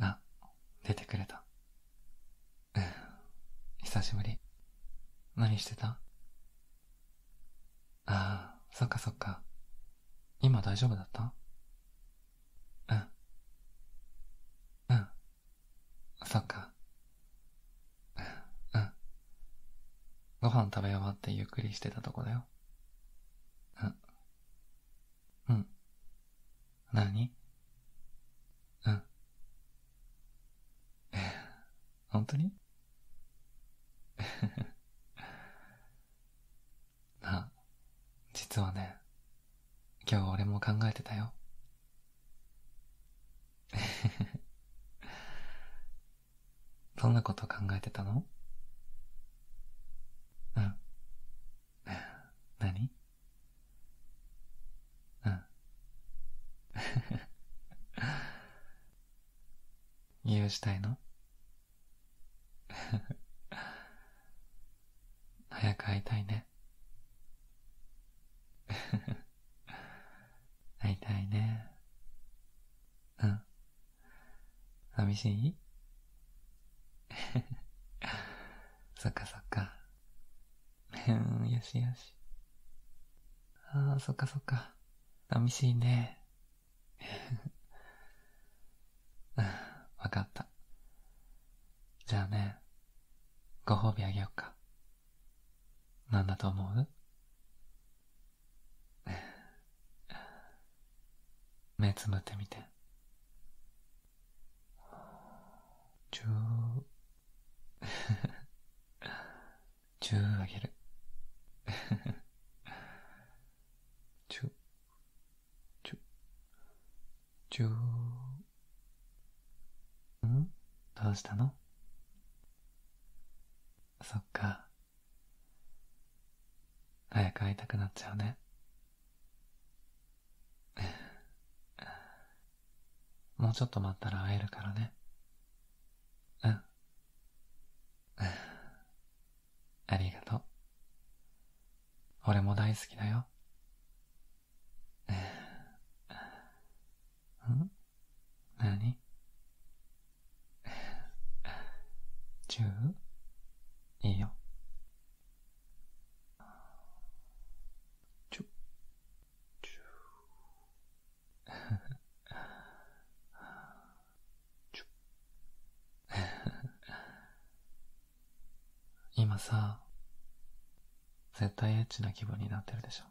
あ、出てくれた。うん、久しぶり。何してたああ、そっかそっか。今大丈夫だったうん。うん。そっか。うん。ご飯食べ終わってゆっくりしてたとこだよ。うん。うん。何うん。え本当に なあ、実はね、今日俺も考えてたよ。えへへ。どんなこと考えてたのうん。何うん。理 由したいの 早く会いたいね会いたいね。うん。寂しい そっかそっか。うん、よしよし。ああ、そっかそっか。寂しいね。わかった。じゃあね、ご褒美あげようか。なんだと思う 目つむってみて。ー、十、ーあげる。十、十、ー。うんどうしたのそっか。早く会いたくなっちゃうね。もうちょっと待ったら会えるからね。うん。ありがとう。俺も大好きだよ。うん何十いいよ。ちょ、ちょ。ちょ。今さ、絶対エッチな気分になってるでしょ。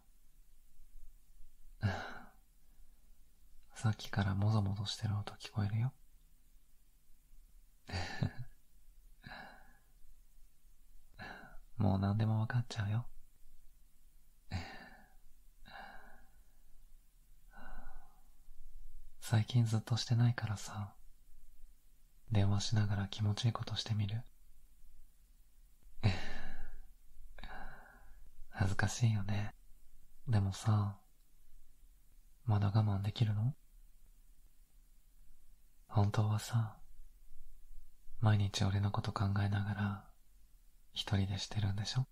さっきからもぞもぞしてる音聞こえるよ。もう何でもわかっちゃうよ。最近ずっとしてないからさ、電話しながら気持ちいいことしてみる。恥ずかしいよね。でもさ、まだ我慢できるの本当はさ、毎日俺のこと考えながら、一人でしてるんでしょ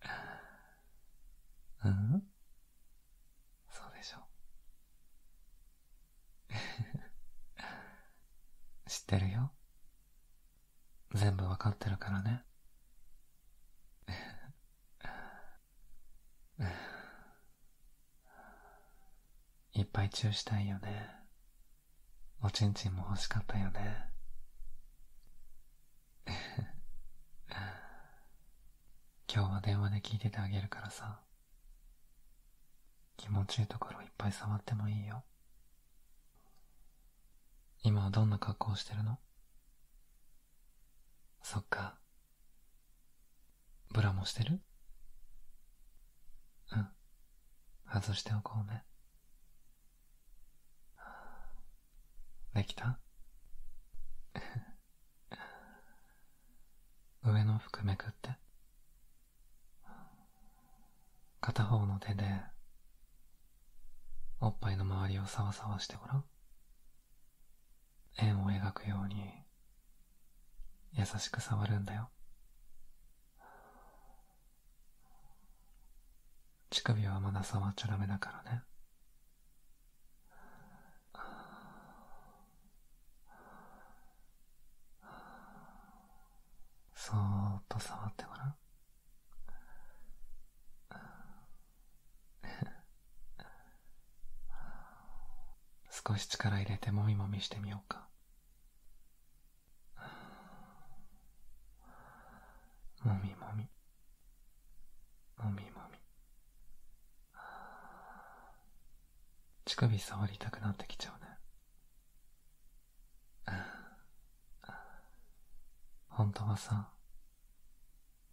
うんそうでしょ 知ってるよ全部わかってるからねいっぱいチューしたいよねおちんちんも欲しかったよね 今日は電話で聞いててあげるからさ気持ちいいところいっぱい触ってもいいよ。今はどんな格好をしてるのそっか。ブラもしてるうん。外しておこうね。できた上の服めくって片方の手でおっぱいの周りをさわさわしてごらん円を描くように優しく触るんだよ乳首はまだ触っちゃダメだからねそーっと触ってごらん。少し力入れてもみもみしてみようか。もみもみ。もみもみ。乳首触りたくなってきちゃうね。本当はさ、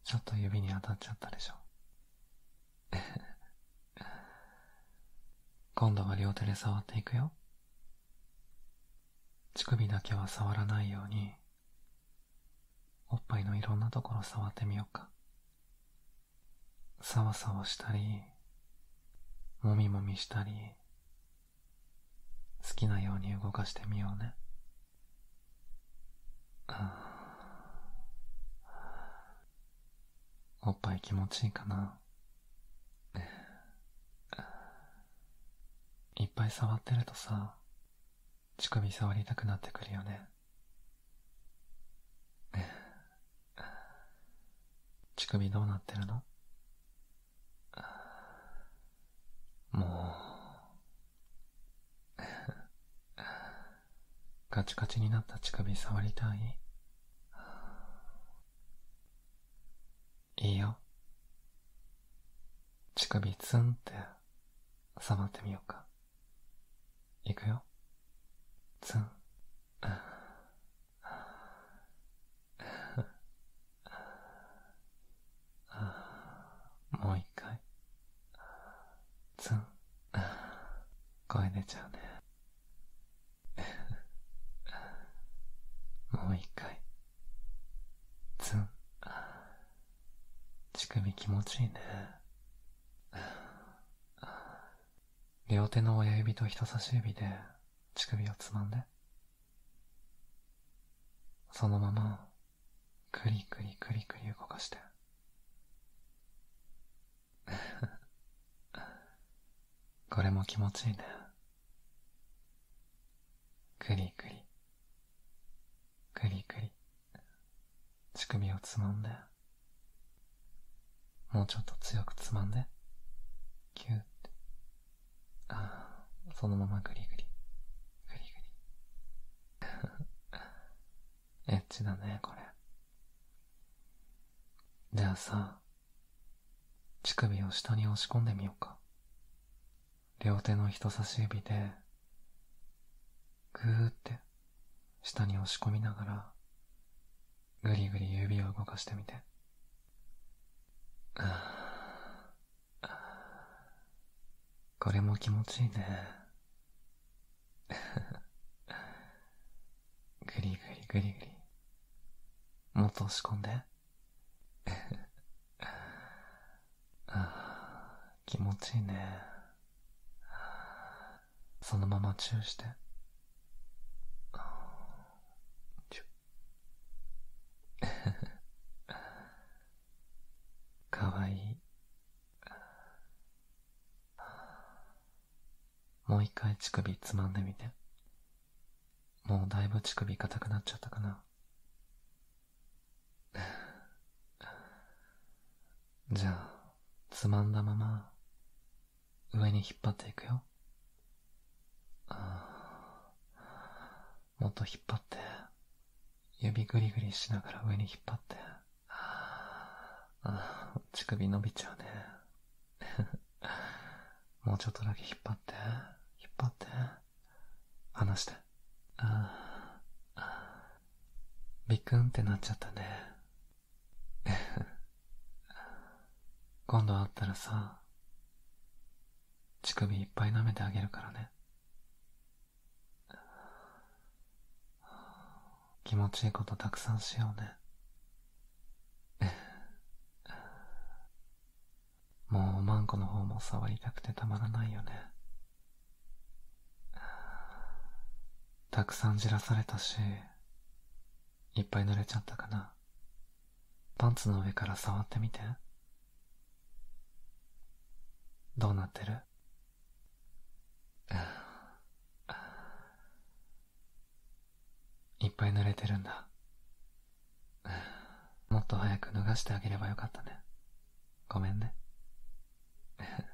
ちょっと指に当たっちゃったでしょ。今度は両手で触っていくよ。乳首だけは触らないように、おっぱいのいろんなところ触ってみようか。さわさわしたり、もみもみしたり、好きなように動かしてみようね。おっぱい気持ちいいかな。いっぱい触ってるとさ、乳首触りたくなってくるよね。乳首どうなってるのもうガチガチになった乳首触りたい いいよ乳首ツンって触ってみようか。いくよ。ツン。ああ、もう一回。ツン。声出ちゃうね。もう一回。ツン。乳首気持ちいいね。両手の親指と人差し指で乳首をつまんで。そのまま、くりくりくりくり動かして。これも気持ちいいね。くりくりぐりぐり、乳首をつまんで、もうちょっと強くつまんで、ぎゅーって、ああ、そのままぐりぐり、ぐりぐり。エッチだね、これ。じゃあさ、乳首を下に押し込んでみようか。両手の人差し指で、ぐーって下に押し込みながら、ぐりぐり指を動かしてみて。これも気持ちいいね。ぐりぐりぐりぐり。もっと押し込んで。気持ちいいね。そのままチューして。チュ かわいい。もう一回乳首つまんでみて。もうだいぶ乳首硬くなっちゃったかな。じゃあ、つまんだまま、上に引っ張っていくよ。ああ、もっと引っ張って、指ぐりぐりしながら上に引っ張って。ああ、乳首伸びちゃうね。もうちょっとだけ引っ張って、引っ張って。話して。ああ、ビクンってなっちゃったね。今度会ったらさ、乳首いっぱい舐めてあげるからね。気持ちいいことたくさんしようね。もうマンコの方も触りたくてたまらないよね。たくさんじらされたし、いっぱい濡れちゃったかな。パンツの上から触ってみて。どうなってるいっぱい濡れてるんだ。もっと早く脱がしてあげればよかったね。ごめんね。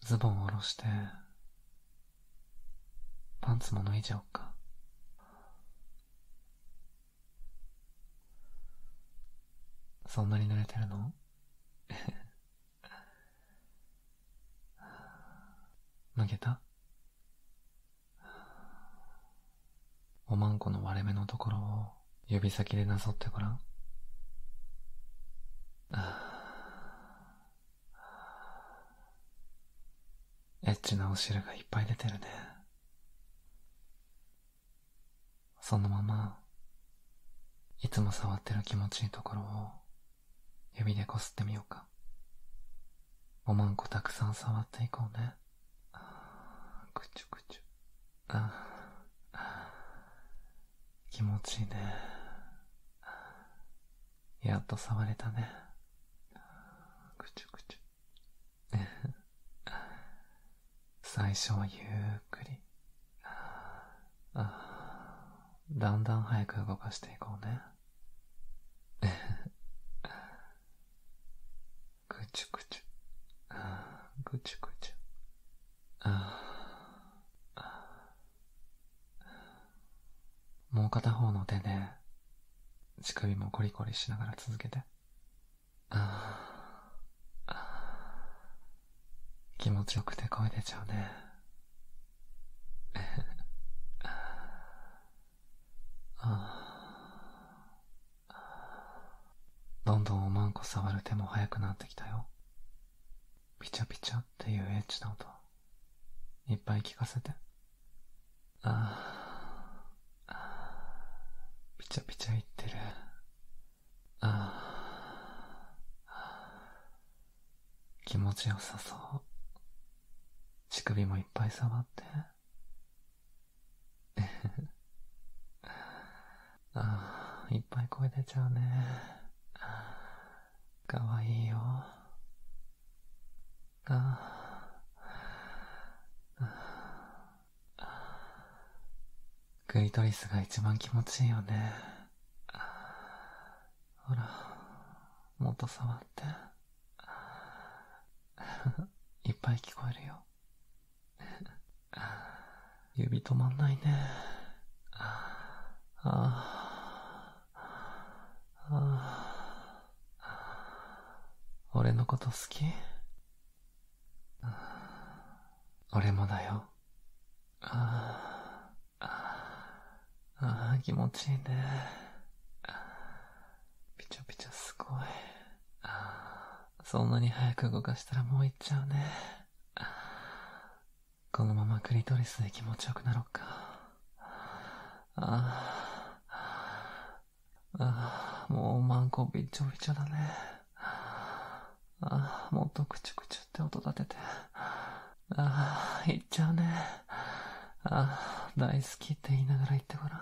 ズボンを下ろして、パンツも脱いじゃおっか。そんなに濡れてるの むけたおまんこの割れ目のところを指先でなぞってごらん。エッチなお汁がいっぱい出てるね。そのまま、いつも触ってる気持ちいいところを指でこすってみようか。おまんこたくさん触っていこうね。あー、くちゅくちゅ。あー、気持ちいいね。やっと触れたね。くちゅくちゅ。最初はゆっくり。だんだん早く動かしていこうね。ぐちゅぐちゅ。ぐちゅぐちゅ。もう片方の手で、乳首もコリコリしながら続けて。気持ちよくて声出ちゃうね。え どんどんおまんこ触る手も速くなってきたよ。ピチャピチャっていうエッチな音。いっぱい聞かせて。ああ。ピチャピチャ言ってる。ああ。気持ちよさそう。乳首もいっぱい触って。ああ、いっぱい声出ちゃうね。かわいいよ。ああ。クリトリスが一番気持ちいいよね。ほら、もっと触って。いっぱい聞こえるよ。指止まんないね。ああ。ああ。俺のこと好き俺もだよ。あああ、気持ちいいね。ピチョピチョすごい。そんなに早く動かしたらもう行っちゃうね。このままクリトリスで気持ちよくなろっか。ああ、あもうマンコびちょびちょだね。あもっとくちゅくちゅって音立てて。ああ、行っちゃうね。ああ、大好きって言いながら行ってごらん。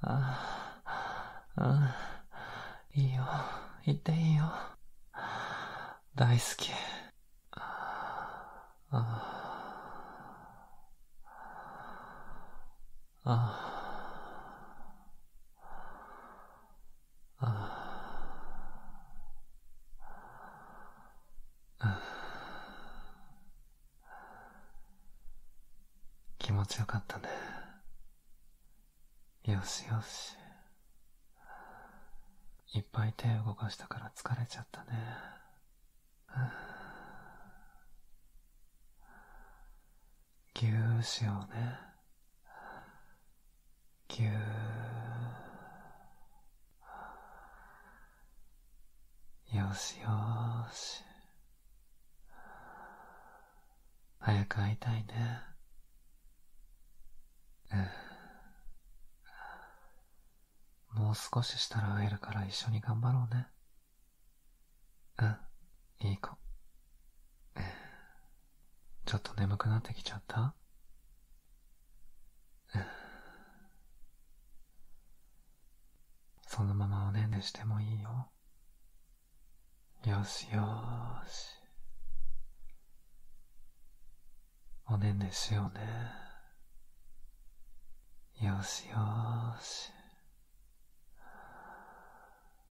ああ、いいよ。行っていいよ。大好き。ああ。ああ。ああ。気持ちよかったね。よしよし。いっぱい手動かしたから疲れちゃったね。ぎゅーしようね。ぎゅー。よしよし。早く会いたいね。うん。もう少ししたら会えるから一緒に頑張ろうね。うん、いい子。ちょっと眠くなってきちゃったそのままおねんねしてもいいよ。よしよーし。おねんねしようね。よしよし。